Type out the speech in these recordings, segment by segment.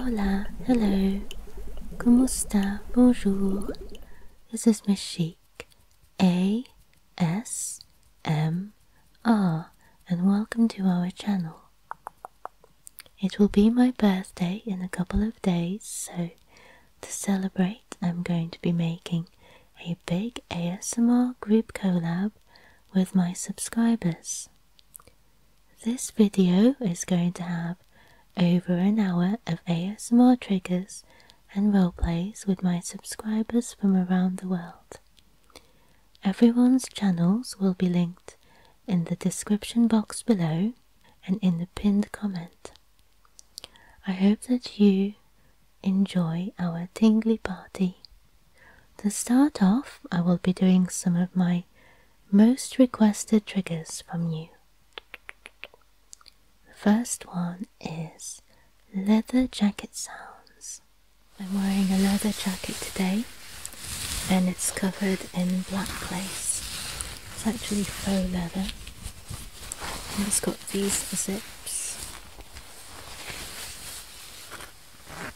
Hola, hello, ¿cómo está? Bonjour. This is Miss Chic, A S M R, and welcome to our channel. It will be my birthday in a couple of days, so to celebrate, I'm going to be making a big ASMR group collab with my subscribers. This video is going to have over an hour of ASMR triggers and roleplays with my subscribers from around the world. Everyone's channels will be linked in the description box below and in the pinned comment. I hope that you enjoy our tingly party. To start off, I will be doing some of my most requested triggers from you. The first one is leather jacket sounds. I'm wearing a leather jacket today and it's covered in black lace. It's actually faux leather it's got these zips.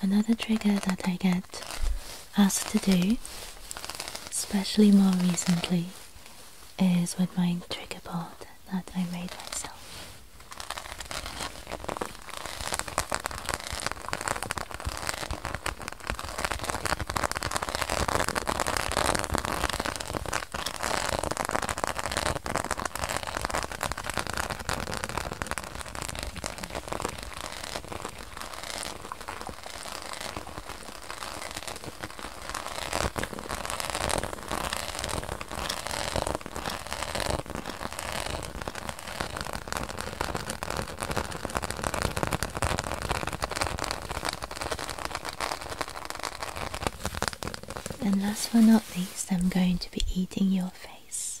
another trigger that I get asked to do, especially more recently, is with my trigger board that I made myself. And last but not least, I'm going to be eating your face.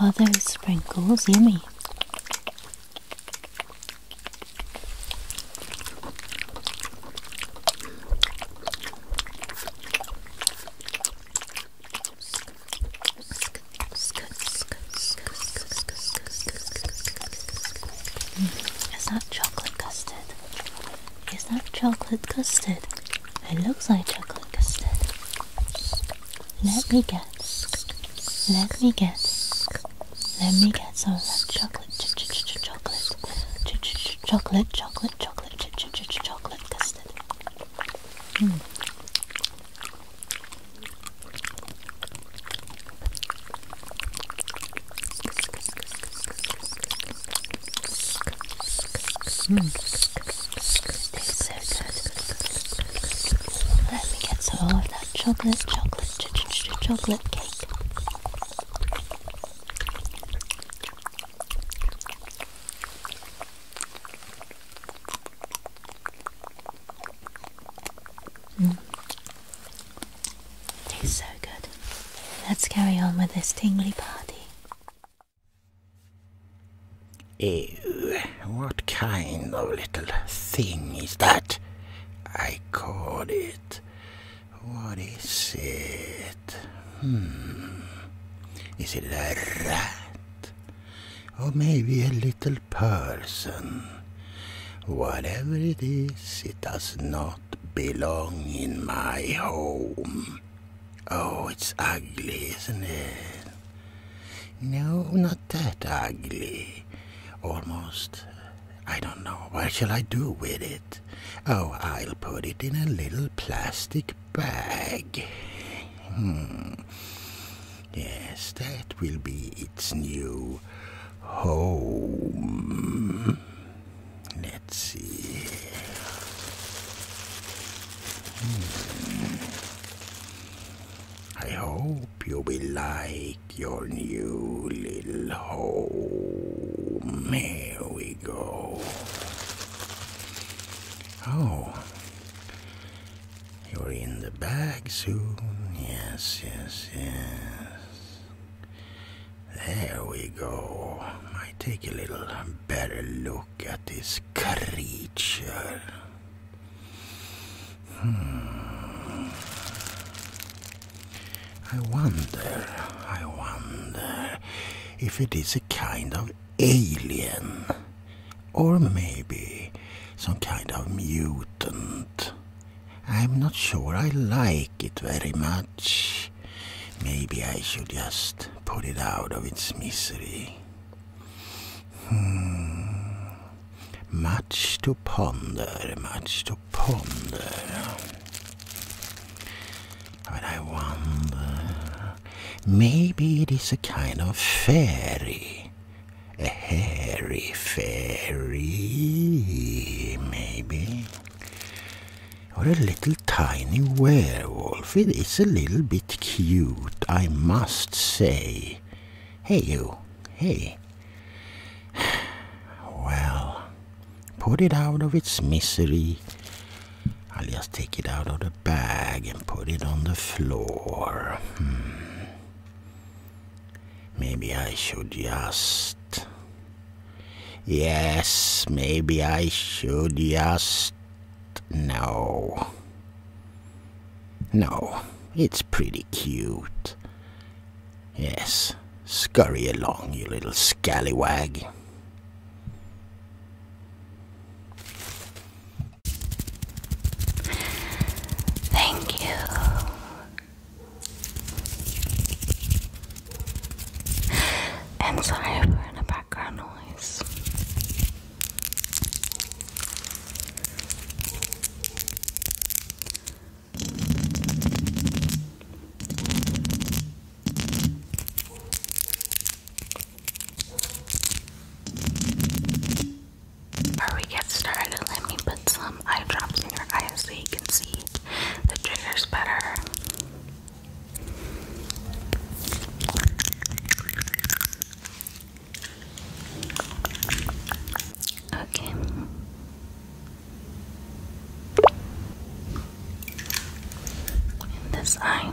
Are those sprinkles yummy? Mm, is that chocolate custard? Is that chocolate custard? It looks like chocolate custard. Let me guess. Let me guess. Let me get some of that chocolate, ch ch ch chocolate, ch ch ch chocolate, chocolate, chocolate, ch ch ch chocolate custard. Mm. Let me get some of that chocolate, chocolate, ch chocolate cake. Mm. so good. Let's carry on with this tingly party. Ew, what kind of little thing is that? I caught it. What is it? Hmm. Is it a rat? or maybe a little person. Whatever it is, it does not belong in my home. Oh, it's ugly, isn't it? No, not that ugly. Almost. I don't know. What shall I do with it? Oh, I'll put it in a little plastic bag. Hmm. Yes, that will be its new home. Let's see. Hmm. I hope you will like your new little home. Here we go. Oh, you're in the bag soon. Yes, yes, yes. There we go. I take a little better look at this creature. Hmm. I wonder, I wonder if it is a kind of alien, or maybe some kind of mutant. I'm not sure I like it very much. Maybe I should just put it out of its misery. Hmm. Much to ponder, much to ponder. But I wonder. Maybe it is a kind of fairy a hairy fairy, maybe. Or a little tiny werewolf. It is a little bit cute, I must say. Hey, you. Hey. Well, put it out of its misery. I'll just take it out of the bag put it on the floor. Hmm. Maybe I should just. Yes, maybe I should just. No. No, it's pretty cute. Yes, scurry along, you little scallywag. Thank you. I'm sorry for the background noise. Before we get started, let me put some eye drops in your eyes so you can see the triggers better. Okay. In this eye.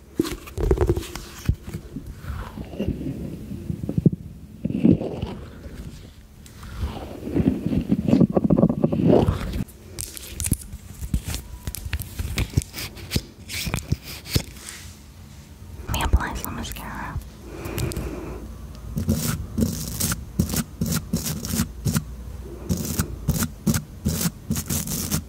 Let me apply some mascara.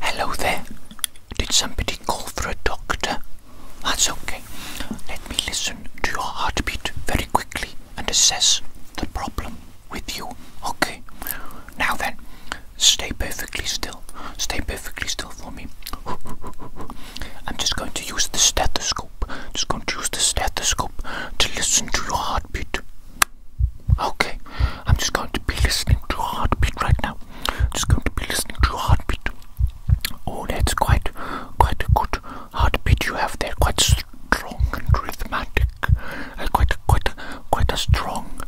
Hello there. Did somebody call for a doctor? That's okay. Let me listen to your heartbeat very quickly and assess the problem with you. Okay. Now then, stay perfectly still. Stay perfectly still for me. I'm just going to use the stethoscope. Just going to use the stethoscope to listen to your heartbeat. Okay, I'm just going to be listening to a heartbeat right now now just going to be listening to your heartbeat. Oh, that's quite, quite a good heartbeat you have there. Quite strong and rhythmic. Uh, quite, quite, quite a strong.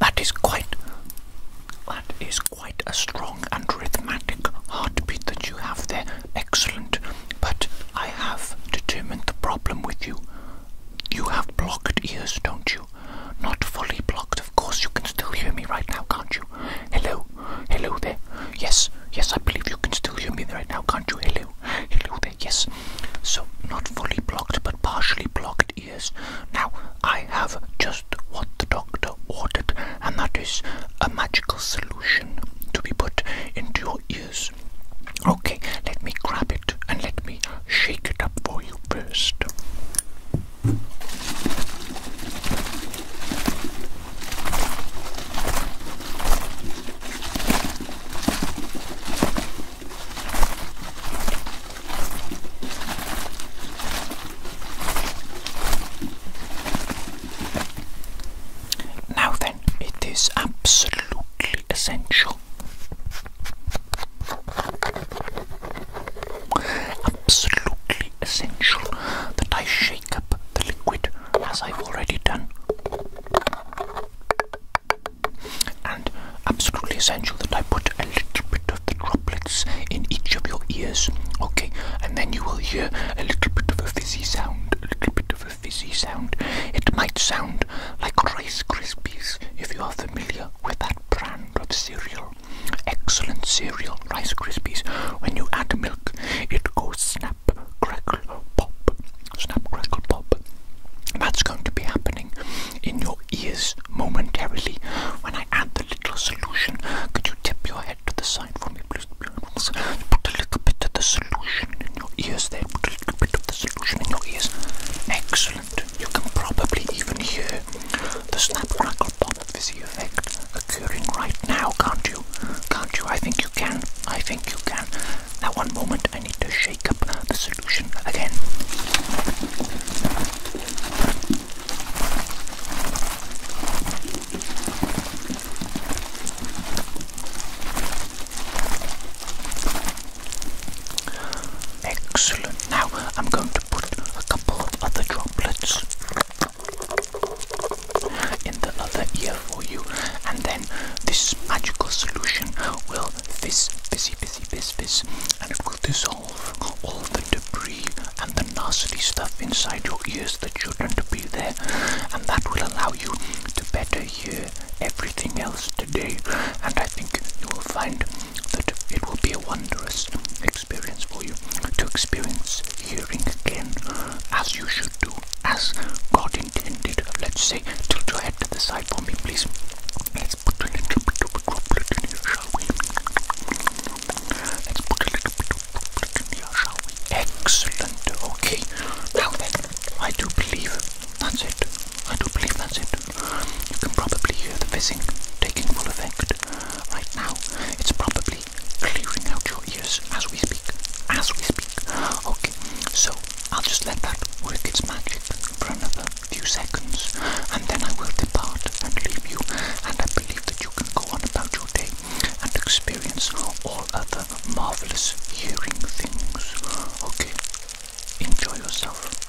That is quite. That is quite a strong and rhythmic heartbeat that you have there. Excellent. But I have determined the problem with you. You have blocked ears, don't you? Not fully blocked, of course. You can still hear me right now, can't you? Hello, hello there. Yes, yes, I believe you can still hear me right now, can't you? Hello, hello there. Yes. So not fully blocked, but partially blocked ears. Now I have just what the doctor ordered, and that is a magical solution to be put into your ears. Okay, let me grab it and let me shake it up for you first. Now then, it is absolutely essential Absolutely essential that I shake up the liquid as I've already done. And absolutely essential that I put a little bit of the droplets in each of your ears, okay? And then you will hear a little bit of a fizzy sound, a little bit of a fizzy sound. It might sound like Rice Krispies if you are familiar with that brand of cereal. Excellent cereal, Rice Krispies. When you add milk, it goes snap, crackle, pop. Snap, crackle, pop. That's going to be happening in your ears momentarily when I add the little solution. Could you tip your head to the side for me, please? Put a little bit of the solution in your ears there. Put a little bit of the solution in your ears. Excellent you can probably even hear the snap crackle pop fizzy effect occurring right now, can't you? Can't you? I think you can. I think you can. Now, one moment, I need to shake up the solution again. Excellent. Now I'm going to put a couple of other droplets in the other ear for you, and then this magical solution will fizz, fizzy, fizzy, fizz, fizz, and it will dissolve all the debris and the nasty stuff inside your ears that shouldn't be there, and that will allow you to better hear everything else today. And I think you will find that it will be a wondrous experience for you to experience hearing again as you should do, as God intended. Let's say, tilt your head to the side for me, please. Let's put a in here, shall Let's put a in here, shall Excellent. Okay. Now then, I do believe that's it. I do believe that's it. You can probably hear the fizzing taking full effect. Right now, it's probably clearing out your ears as we speak. As we speak. Okay, so I'll just let that work its magic for another few seconds, and then I will depart and leave you. And I believe that you can go on about your day and experience all other marvelous hearing things. Okay, enjoy yourself.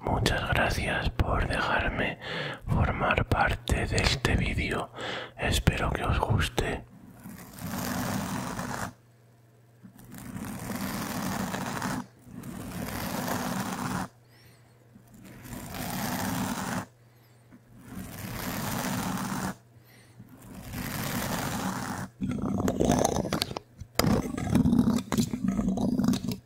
Muchas gracias por dejarme formar parte de este vídeo. Espero que os guste.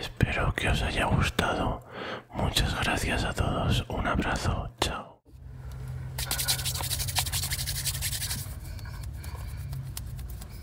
Espero que os haya gustado. Muchas gracias a todos. Un abrazo. Chao.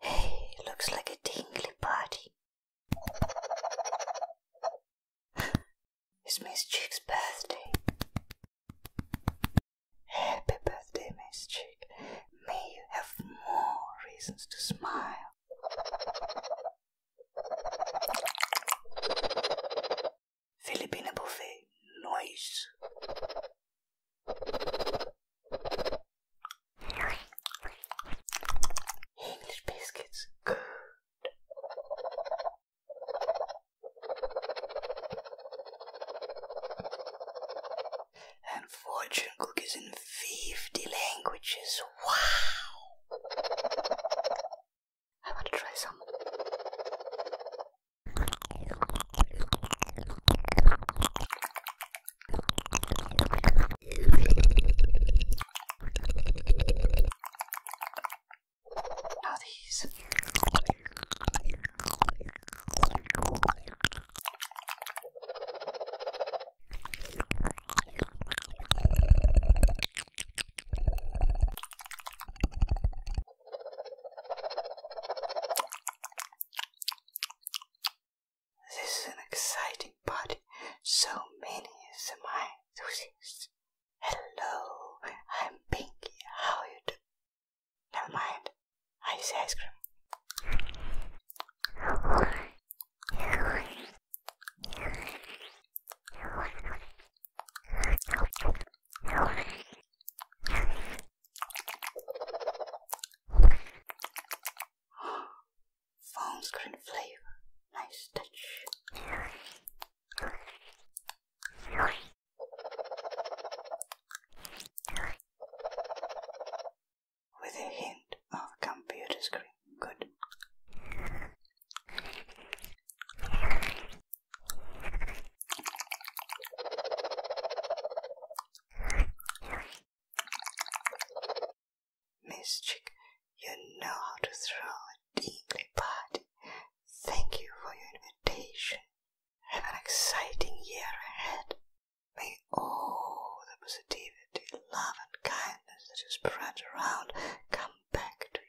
Hey, looks like a tingly party. It's Miss Chick's birthday. Happy birthday, Miss Chick. May you have more reasons to smile. Filipina buffet noise. English biscuits good. And fortune cookies in 50 languages. Wow! I want to try some. This is an exciting party. So many SMI enthusiasts Hello, I'm Pinky. How are you doing? Never mind. I see ice cream. Phone screen flavor. Nice touch. With a hint of computer screen. Good. Miss Chick, you know how to throw it deeply, but thank you for your invitation. Have an exciting year ahead. May all the positivity, love, and kindness that you spread around come back to you.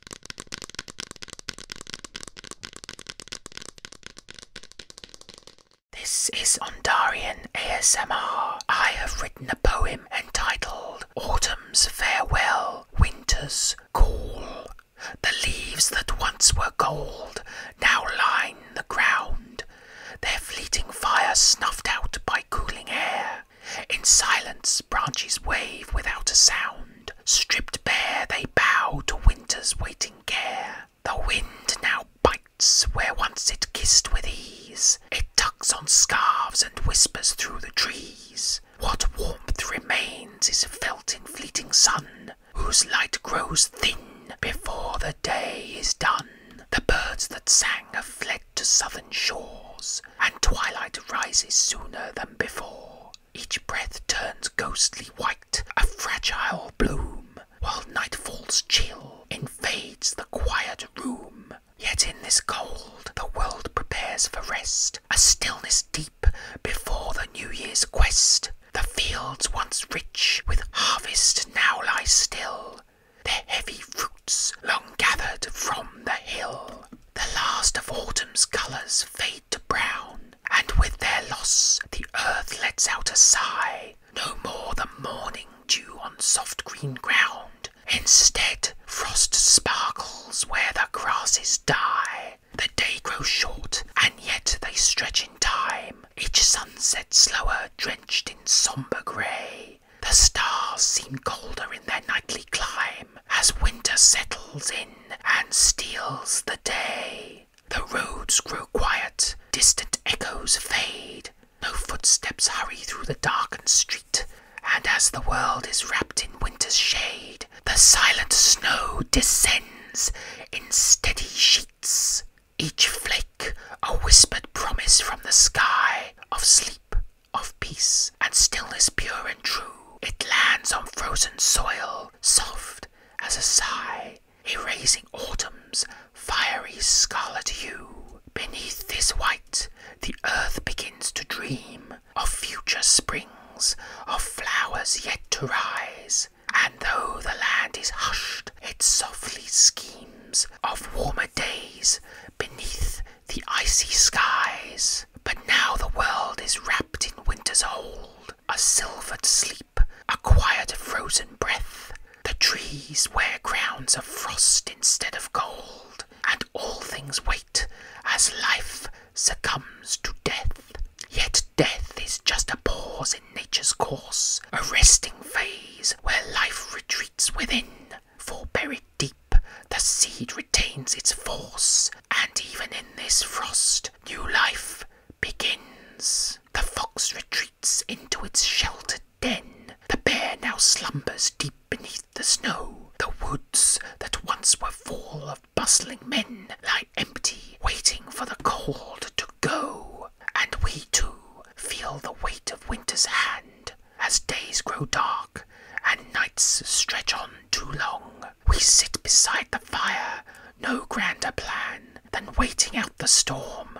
This is Ondarian ASMR. I have written a poem entitled Autumn's Farewell, Winter's Call. The leaves that once were gold now line the ground, their fleeting fire snuffed out by cooling air. In silence, branches wave without a sound stripped bare, they bow to winter's waiting care. The wind now bites where once it kissed with ease, it tugs on scarves and whispers through the trees. What warmth remains is felt in fleeting sun, whose light grows thin before the day is done. The birds that sang have fled to southern shores, and twilight rises sooner than before. Each breath turns ghostly white, a fragile bloom, while night chill invades the quiet room. Yet in this cold, the world prepares for rest, a stillness deep before the New Year's quest. The fields once rich with harvest now lie still, their heavy fruits long gathered from the hill. The last of autumn's colours fade to brown, and with their loss the earth lets out a sigh. No more the morning dew on soft green ground. Instead, frost sparkles where the grasses die. The day grows short, and yet they stretch in time. Each sunset slower, drenched in sombre grey. The stars seem colder in their nightly climb as winter settles in and steals the day. The roads grow quiet, distant echoes fade, no footsteps hurry through the darkened street, and as the world is wrapped in winter's shade, the silent snow descends in steady sheets, each flake a whispered promise from the sky of sleep, of peace, and stillness pure and true. It lands on frozen soil, soft as a sigh, erasing autumn's fiery scarlet hue. Beneath this white, the earth begins to dream of future springs, of flowers yet to rise. And though the land is hushed, it softly schemes of warmer days beneath the icy skies. But now the world is wrapped in winter's hold, a silvered sleep, a quiet frozen breath. The trees wear crowns of frost instead of gold, and all things wait as life succumbs to death. Yet death is just a pause in nature's course, a resting phase where life retreats within. For buried deep, the seed retains its force, and even in this frost, new life begins. The fox retreats into its sheltered den. The bear now slumbers deep beneath the snow. The woods that once were full of bustling men lie empty, waiting for the cold to go. And we too feel the weight of winter's hand as days grow dark and nights stretch on too long. We sit beside the fire, no grander plan than waiting out the storm,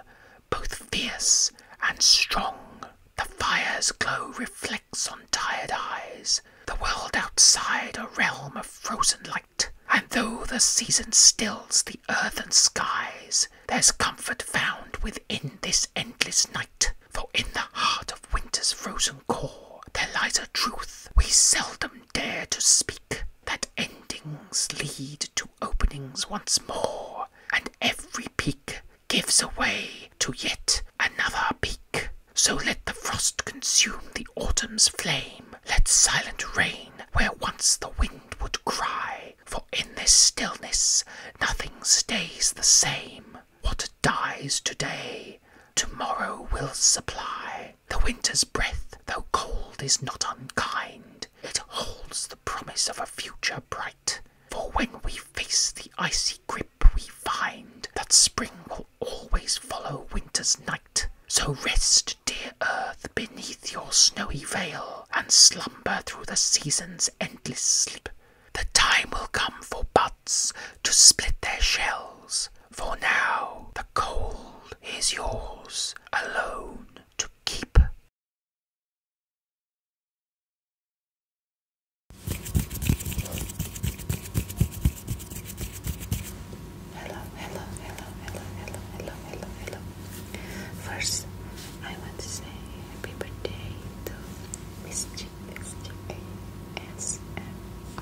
both fierce and strong. The fire's glow reflects on tired eyes, the world outside a realm of frozen light. And though the season stills the earth and skies, there's comfort found within this endless night. For in the heart of winter's frozen core, there lies a truth we seldom dare to speak that endings lead to openings once more, and every peak gives away to yet another peak. So let the frost consume the autumn's flame, let silent rain where once the wind would cry, for in this stillness nothing stays the same. What dies today, tomorrow will supply. The winter's breath, though cold, is not unkind. It holds the promise of a future bright. For when we face the icy grip, we find that spring will always follow winter's night. So rest, dear earth, beneath your snowy veil, and slumber through the season's endless sleep. The time will come for buds to split their shells, for now the the is yours alone to keep. Hello, hello, hello, hello, hello, hello, hello, First, I want to say happy birthday to Miss G, I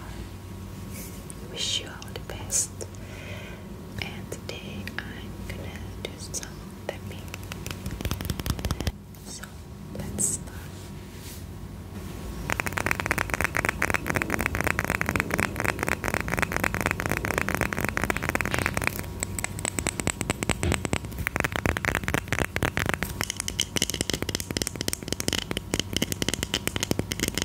Wish you all the best. And today I'm gonna do some tapping. So let's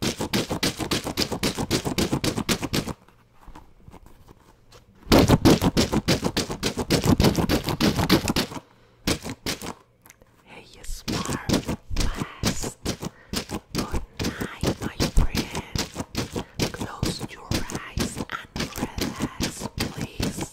Hey, you smart blast. Good night, my friend. Close your eyes and relax, please.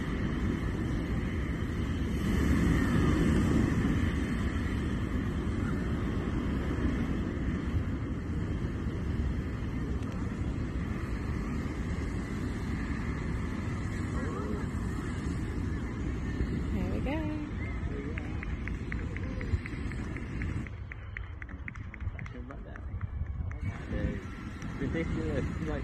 ridiculous. Like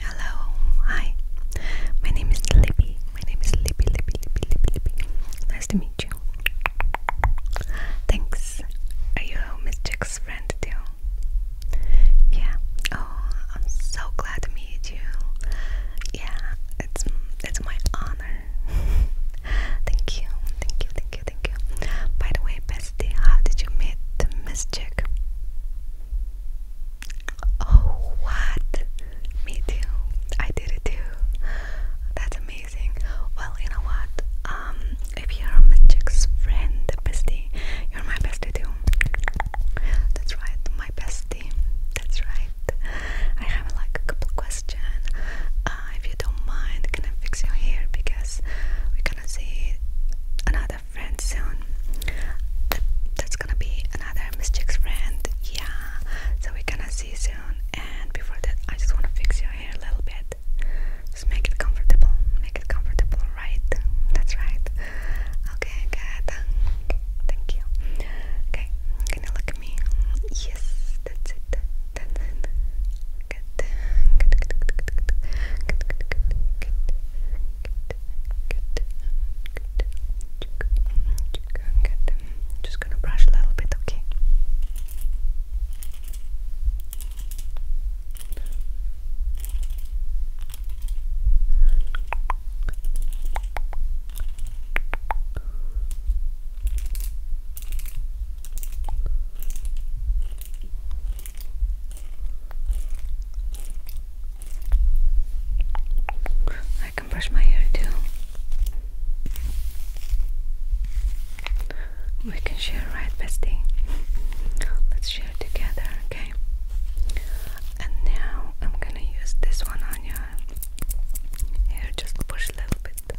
Hello, hi. My name is Libby. My name is Libby, Libby, Libby, Libby, Libby. Nice to meet you. Thanks. Are you Miss Jack's friend too? Yeah. Oh, I'm so glad to meet you. Yeah, it's it's my honor thank you, thank you, thank you, thank you. By the way, bestie, how did you meet Miss Chick? Oh, what? Me too. I did it too. That's amazing. Well, you know what? Um, if you're Miss Chick's friend, bestie, you're my bestie too. That's right, my bestie. That's right. I have like a couple questions question. Uh, if you don't mind, can I fix your hair because we're gonna see another friend soon. that's gonna be another Miss Chick's friend. Yeah, so we're gonna see soon. And before that, I just wanna fix your hair a little bit. Just make it comfortable. Make it comfortable, right? That's right. Okay, good. Thank you. Okay, can you look at me? Yes, that's it. Dun, dun. Good, good, good, good, good, good, good, good, good, good, good, good, good. Just gonna brush a little bit, okay? Good, I can brush my hair too. We can share, right, bestie? Let's share together, okay? And now I'm gonna use this one on your hair, just push a little bit.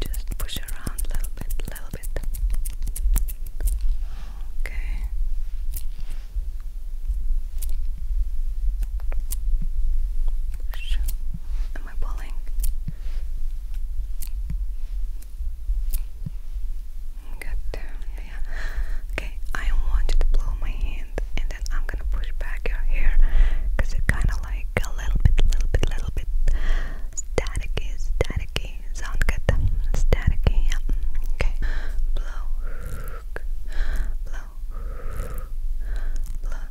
Just push around a little bit, little bit. Okay. Am I pulling? Good. Yeah, yeah. Okay, I want you to blow my hand then I'm gonna push back your hair it kind of like a little bit, little bit, little bit staticky, staticky. Sound good? Staticky. Yeah. Okay. Blow, blow, blow, blow, blow.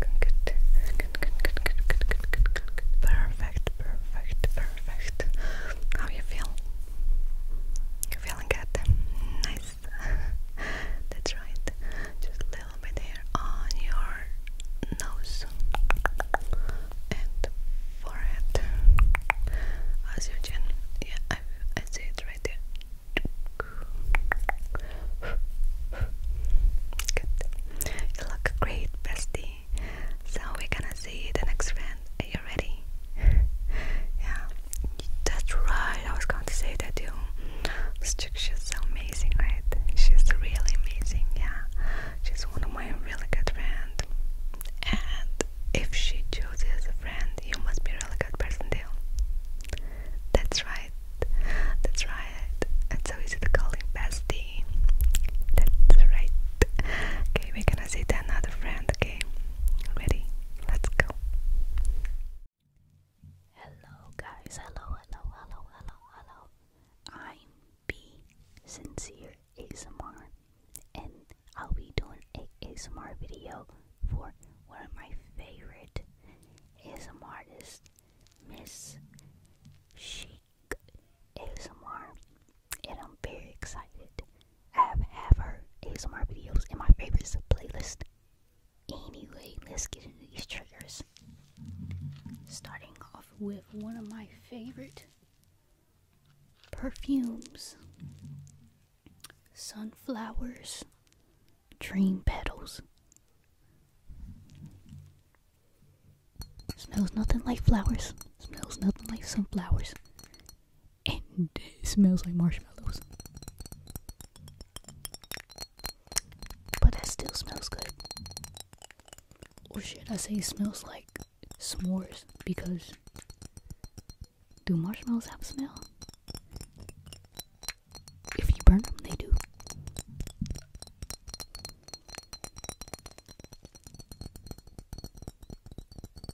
Good, good, good, good, good, good, good, good, good. Perfect, perfect, perfect. How you feel? You're feeling good. Nice. That's right. Just a little bit here on your nose and forehead. As Yeah, I see it right there. Good. You look great, bestie. So we're gonna see the next friend. Are you ready? yeah, that's right. I was going to say that too. is so amazing, right? She's really amazing. Yeah, she's one of my really good friends. And if she chooses a friend, you must be really good person too. That's right. That's right. It's so easy to call him bestie. That's right. Okay, we can gonna see another friend, okay? Ready? Let's go. Hello, guys. Hello, hello, hello, hello, hello. I'm B Sincere ASMR, and I'll be doing a ASMR video for one of my favorite ASMR artists, Miss Chic ASMR and I'm very excited. I have, have ASMR videos in my favorites playlist. Anyway, let's get into these triggers. Starting off with one of my favorite perfumes sunflowers, dream petals. Smells nothing like flowers, smells nothing like sunflowers it smells like marshmallows. But that still smells good. Or should I say it smells like s'mores because do marshmallows have a smell? If you burn them, they do.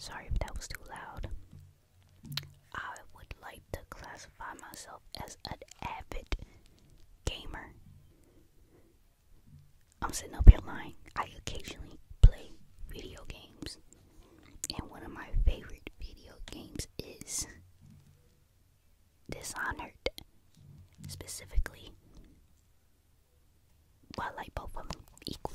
Sorry if that was too loud. I would like to classify myself as an avid gamer. I'm sitting up here lying. I occasionally play video games. And one of my favorite video games is Dishonored, specifically. Well, I both of equally.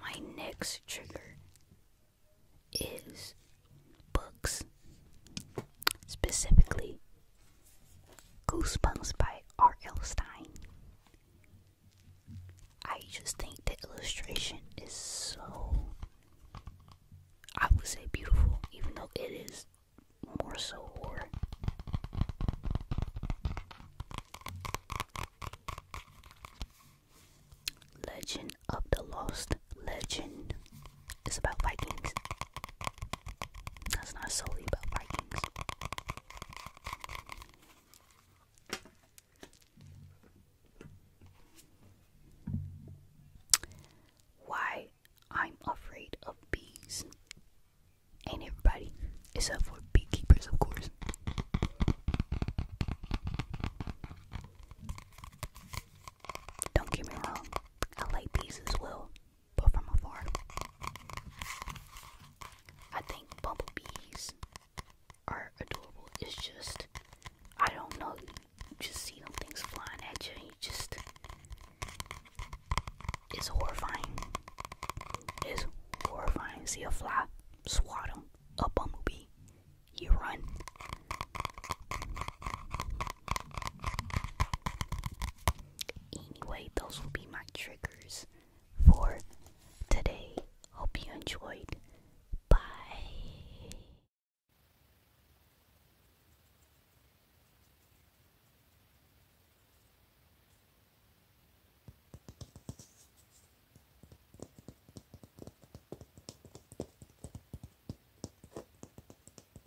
My next trigger is books, specifically Goosebumps by R.L. Stein. I just think the illustration is so, I would say, beautiful, even though it is more so horror. Legend of the Lost Legend. It's about Vikings. That's not solely about Vikings. Why I'm afraid of bees. Ain't everybody, except for beekeepers, of course. Don't get me wrong, I like bees as well but from afar. I think bumblebees are adorable. It's just, I don't know, you just see them things flying at you, and you just, it's horrifying. It's horrifying. See a fly, swat them. a bumblebee, you run. Anyway, those will be my triggers for today. Hope you enjoyed. Bye.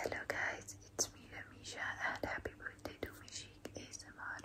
Hello guys, it's me Misha and happy birthday to Mishik ASMR.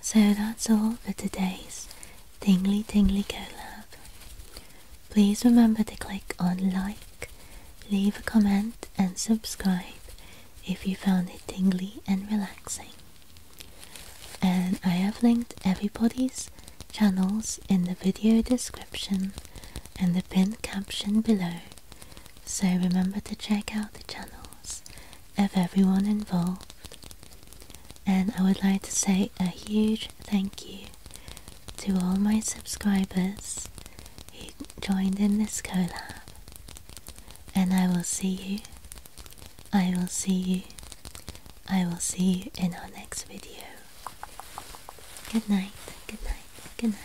So that's all for today's Tingly Tingly collab. Please remember to click on like, leave a comment and subscribe if you found it tingly and relaxing. And I have linked everybody's channels in the video description and the pinned caption below, so remember to check out the channel of everyone involved. And I would like to say a huge thank you to all my subscribers who joined in this collab. And I will see you, I will see you, I will see you in our next video. Good night, good night, good night.